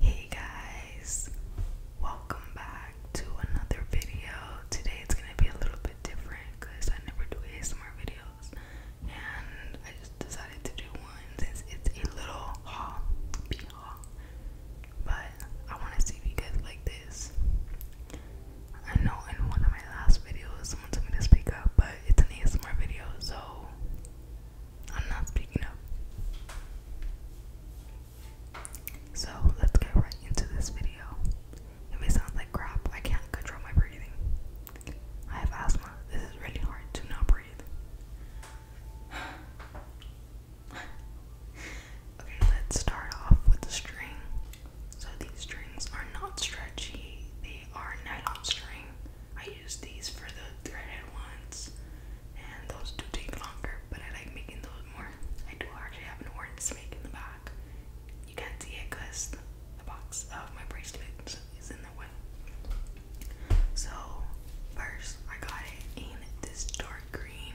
Hey guys, welcome back to another video. Today it's gonna be a little bit different because I never do ASMR videos and I just decided to do one since it's a little haul, be but I want to see if like this. I know in one of my last videos someone told me to speak up, but it's an ASMR video, so I'm not speaking up. So let's get right into this video. It may sound like crap, I can't control my breathing. I have asthma. This is really hard to not breathe okay, let's start off with the string. So these strings are not stretchy, they are nylon string. I use these for the threaded ones, and those do take longer, but I like making those more. I do actually have an orange snake in the back. You can't see it because the box of my bracelets is in the way. So, first, I got it in this dark green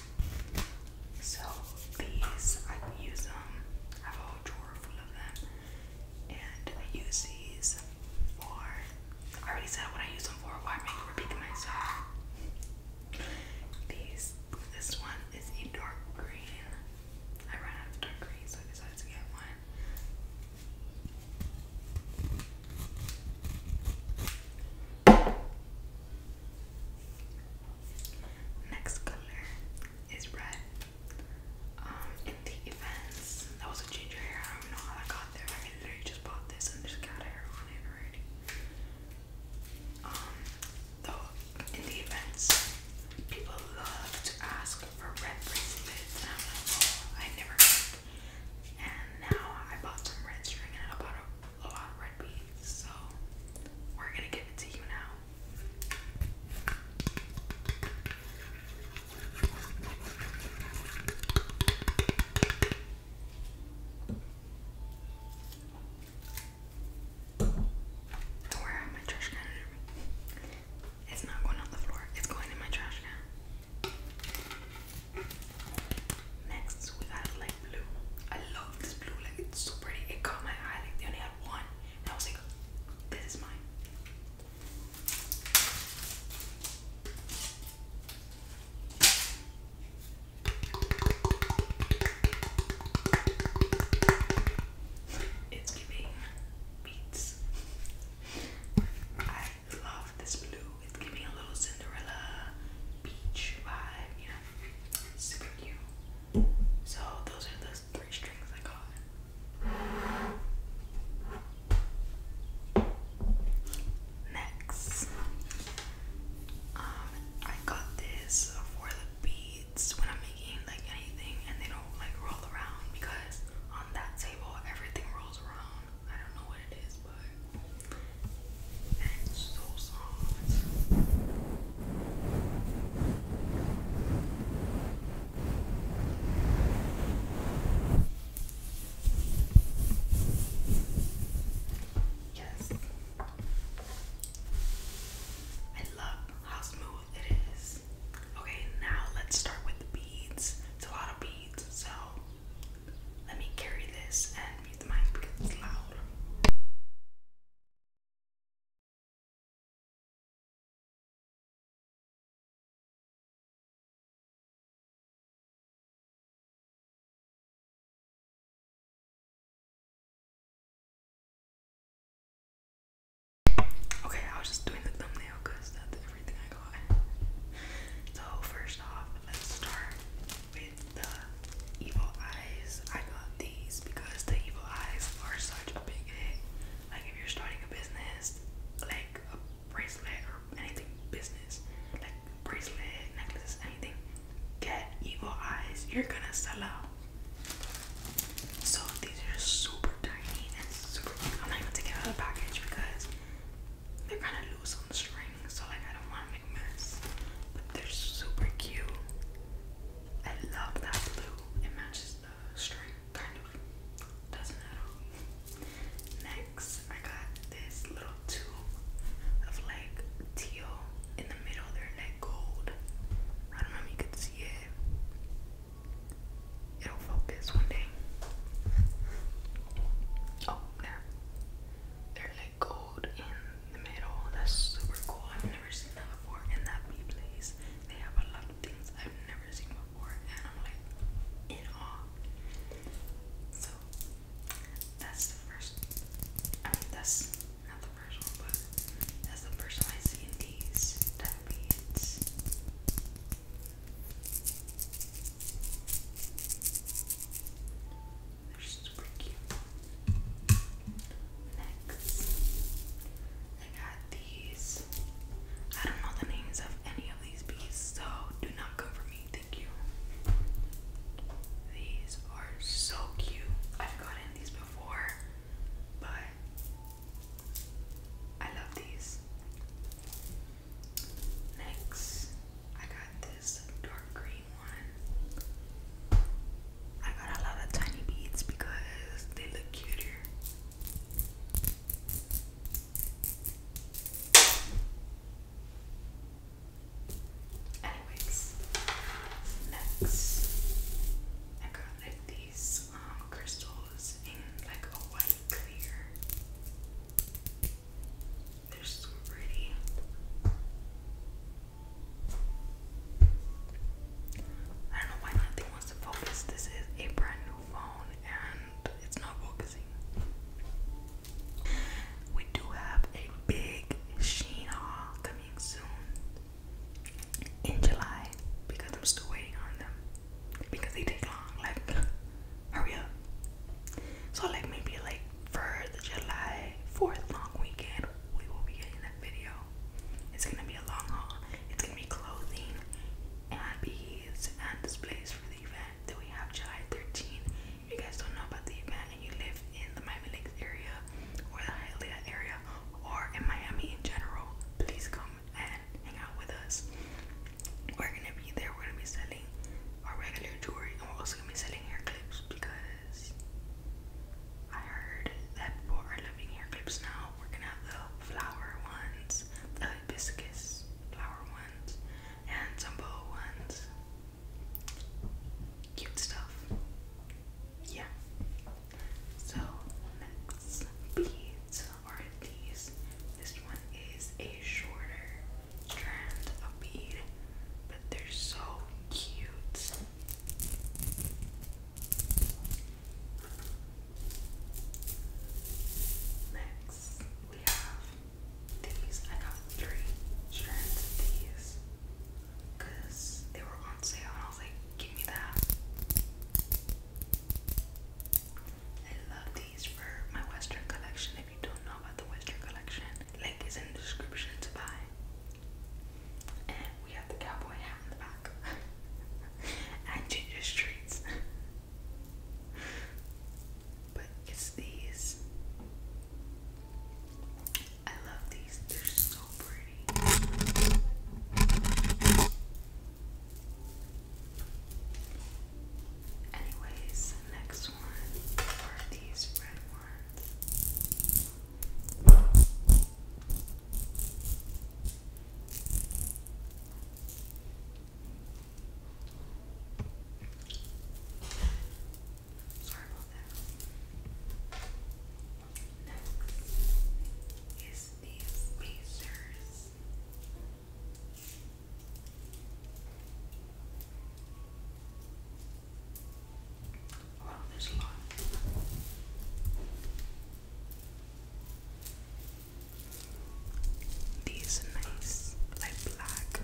So these, I use them. I have a whole drawer full of them, and I use these for. I already said what I use them for. Why make it repeat myself? These. This one is a green. I ran out of dark green, so I decided to get one. Next color is red. Um, in the events, that was a ginger hair. I don't know how I got there. I literally just bought this and just got hair on it already. Um, though in the events, people love to ask for red bracelets, and I'm like, oh, I never. Did. And now I bought some red string and I bought a a lot of red beans, so we're gonna give it to you now. do my trash can It's not going on the floor, it's going in my trash can. Next we got like blue. I love this blue, like it's so pretty. It caught my eye, like they only had one. And I was like, this is mine. It's giving beats. I love this blue. It's giving a little Cinderella beach vibe, you Super cute. So those are the three strings I got. Next, um, I got this for the beads when I'm making like anything, and they don't like roll around because on that table everything rolls around. I don't know what it is, it's so soft. I love how smooth it is. Okay, now let's start with the beads. It's a lot of beads, so let me carry this and mute the mic because it's loud. Okay, I was just doing the thumbnail because that's everything I got. So, first off, let's start the evil eyes. I got these because the evil eyes are such a big hit. Like if you're starting a business, like a bracelet or anything business, like bracelet, necklaces, anything, get evil eyes. You're gonna sell out. So these are super tiny and super. Cute. I'm not even taking out of the package because they're kind of loose on the string so like I don't want to make mess. But they're super cute. I love that blue. It matches the string, kind of. Doesn't at all. Next, I got this little tube of like teal in the middle. They're like gold. I don't know if you can see it. It'll focus one day. Oh, there. They're like gold in the middle. That's super cool. I've never seen that before. In that bee place, they have a lot of things I've never seen before, and I'm like in awe. So that's the first. I mean, that's not the first one, but that's the first time I've seen these type Next, I got these. I don't know the names of any of these bees, so do not come me. Thank you. These are so cute. I've gotten these before, but I love these. Next, I got this dark green tiny I got a lot of tiny beads because they look cuter. Anyways, next I got like these um, crystals in like a white clear. They're so pretty. I don't know why nothing wants to focus. This is a brand new phone and it's not focusing. We do have a big Sheen coming soon in July because I'm still waiting on them because they take long. Like, hurry up. So, like, maybe like for the July 4th long weekend, we will be getting that video. It's gonna be a long haul. It's gonna be clothing and beads and displays for the event that we have July 13th. If you guys don't know about the event and you live in the Miami Lakes area or the Hialeah area or in Miami in general, please come and hang out with us. We're gonna be there, we're gonna be selling our regular jewelry and we're also gonna be selling hair clips because I heard that people are loving hair clips now. We're gonna have the flower ones, the hibiscus flower ones, and some bow ones. Cute stuff. Yeah. So next beads are these. This one is a shorter strands of bead, but they're so cute. Next, we have these. I got three strands of these because they were on sale, and I was like, give me that. I love these for my Western collection if don't know about the Western collection, link is in the description to buy. And we have the cowboy hat in the back. and ginger streets. but it's these. I love these. They're so pretty. Anyways, the next one are these red ones. Sorry about that. Next is these pacers along this These nice, like black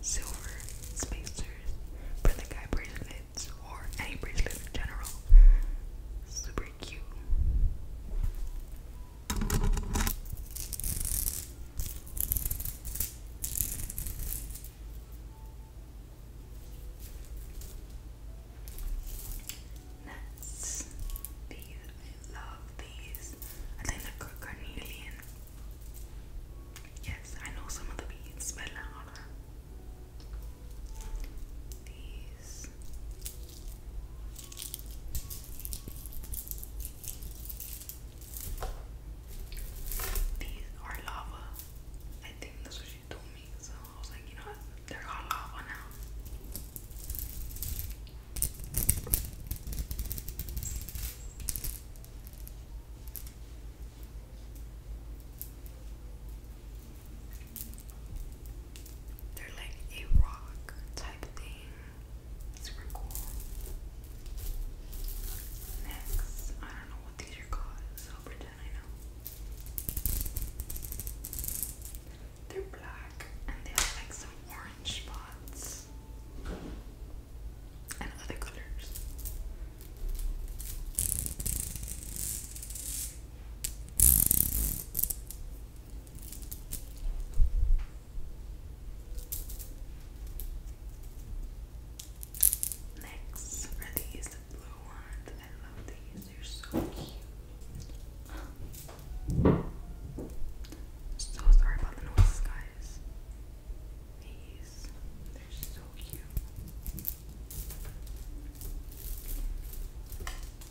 silver spacers for the guy bracelets or any bracelet in general. Super cute. Nuts. These, I love these. I think they're called Yes, I know some of the beads by Laura. These. These are lava. I think that's what she told me. So I was like, you know what? They're called lava now. They're like a rock type thing super cool. Next, I don't know what these are called, so pretend I know. They're black and they have like some orange spots and other colors. Next are these blue ones. I love these. They're so cute. So sorry about the noise, guys. These they're so cute.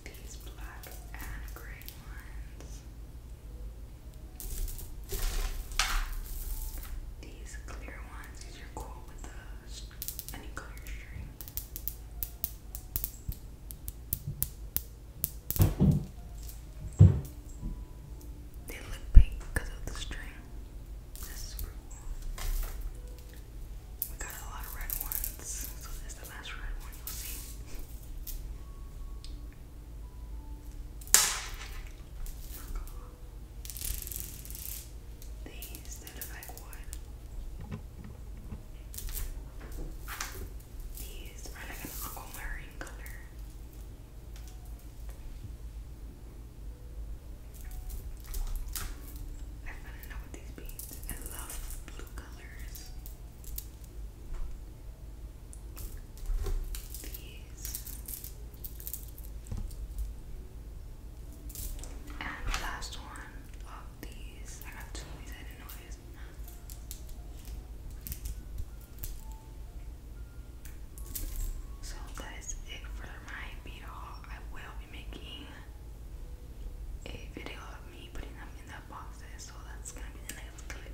These black and gray ones. These clear ones, are cool with the any color string. They look pink because of the string. This cool. We got a lot of red ones, so this is the last red one you'll see. These that look like wood. These are like an aquamarine color. I fell in love with these beads. I love blue colors these and last one of these. I got two of these, I didn't know So that is it for my beat haul. I will be making a video of me putting them in the boxes, so that's gonna be the next clip.